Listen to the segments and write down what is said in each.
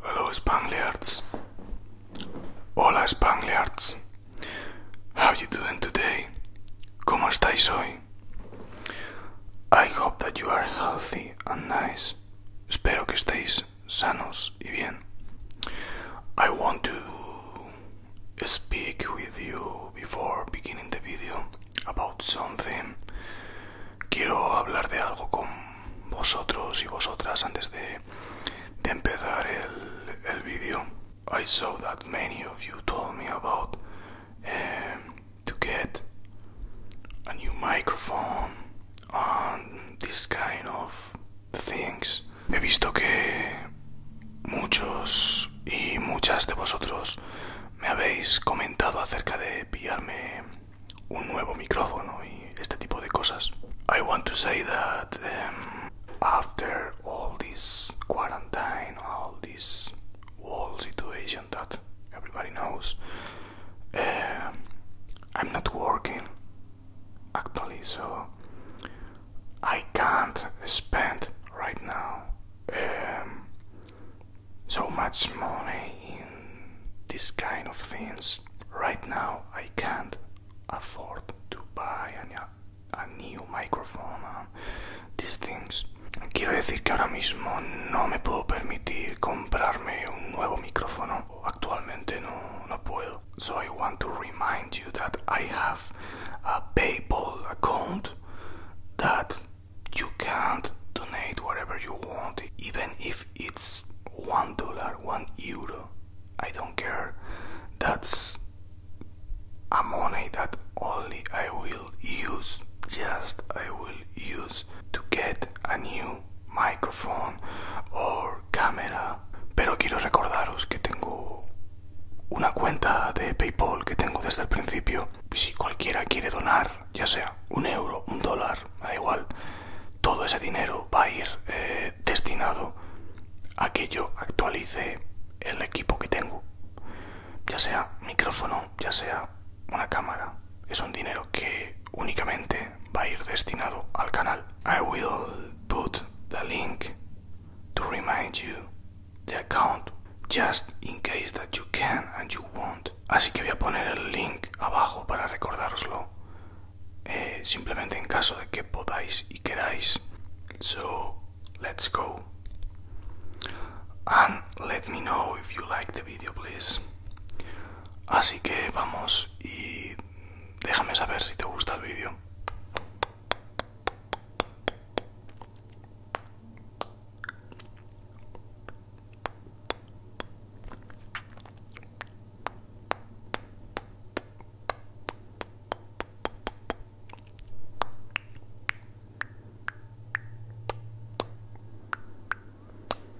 Hello Spangliards. Hola Spangliards. How you doing today? ¿Cómo estáis hoy? I hope that you are healthy and nice. Espero que estéis país sanos y bien. I want to speak with you before beginning the video about something. Quiero hablar de algo con vosotros y vosotras antes de, de empezar el, el video. I saw that many of you told me about eh, to get a new microphone and this kind of He visto que muchos y muchas de vosotros me habéis comentado acerca de pillarme un nuevo micrófono y este tipo de cosas. I want to say that um, after all this quarantine, all this whole situation that everybody knows, uh, I'm not working actually so I can't spend right now um, so much money in this kind of things right now I can't afford to buy any a new microphone and these things Quiero decir que ahora mismo no me puedo permitir comprarme un nuevo micrófono so I want to remind you that I have a PayPal account that you can donate whatever you want, even if it's one dollar, one euro. I don't care. That's a money that only I will use, just I will use to get a new microphone or cámara. Pero quiero recordaros que tengo una cuenta de PayPal que tengo desde el principio. Y si cualquiera quiere donar, ya sea un euro, un dólar, da igual, todo ese dinero va a ir eh, destinado a que yo actualice el equipo que tengo. Ya sea micrófono, ya sea una cámara. Es un dinero que únicamente I will put the link to remind you the account just in case that you can and you want. Así que voy a poner el link abajo para recordároslo. Eh, simplemente en caso de que podáis y queráis. So, let's go. And let me know if you like the video, please. Así que vamos y déjame saber si te gusta el vídeo.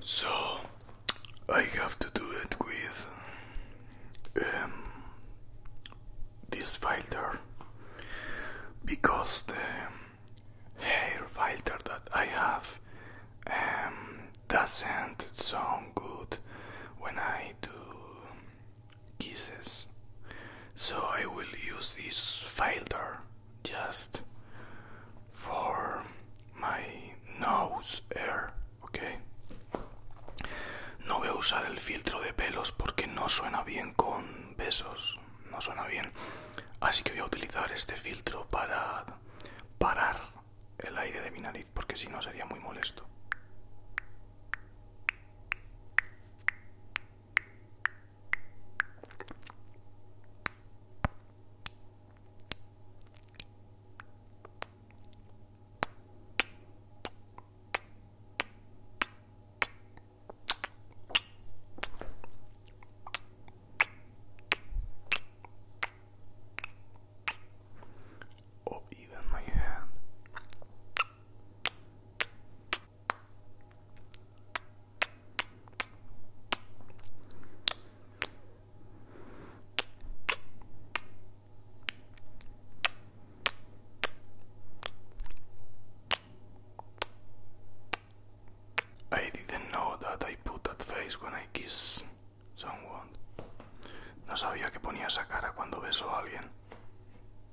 So I have to do it with um, this filter because the hair filter that I have um, doesn't sound good when I do quises. So I will use this filter just for my nose air, okay? No voy a usar el filtro de pelos porque no suena bien con besos, no suena bien. Así que voy a utilizar este filtro para parar el aire de mi nariz porque si no sería muy molesto. or oh, even my hand. I didn't know that I put that face when I kiss someone. No sabía que ponía esa cara cuando beso a alguien.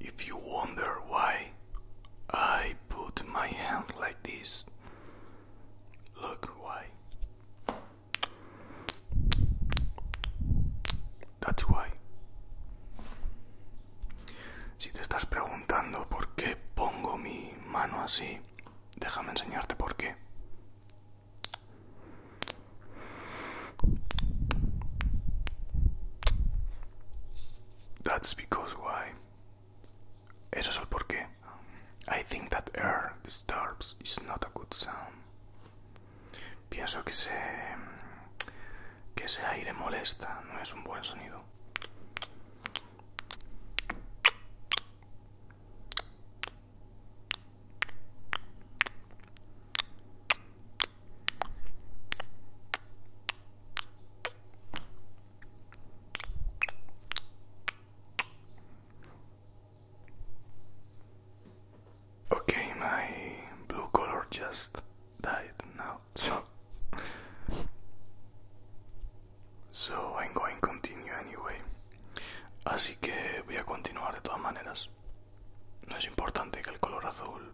If you wonder why I put my hand like this, look why. That's why. Si te estás preguntando por qué pongo mi mano así, déjame enseñarte por qué. That's because why. Eso es el porqué. I think that air disturbs is not a good sound. Pienso que ese, que ese aire molesta, no es un buen sonido. Okay, my blue color just died now, so I'm going continue anyway. Así que voy a continuar de todas maneras. No es importante que el color azul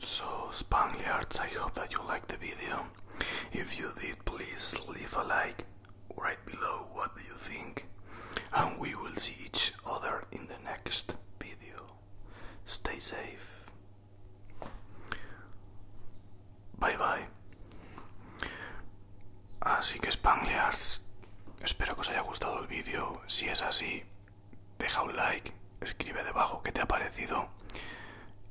So, Spaniards, I hope that you liked the video. If you did, please leave a like right below what do you think. And we will see each other in the next video. Stay safe. Bye bye. Así que Spanglears, espero que os haya gustado el vídeo. Si es así, deja un like, escribe debajo qué te ha parecido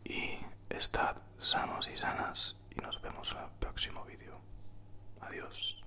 y estad sanos y sanas y nos vemos en el próximo vídeo. Adiós.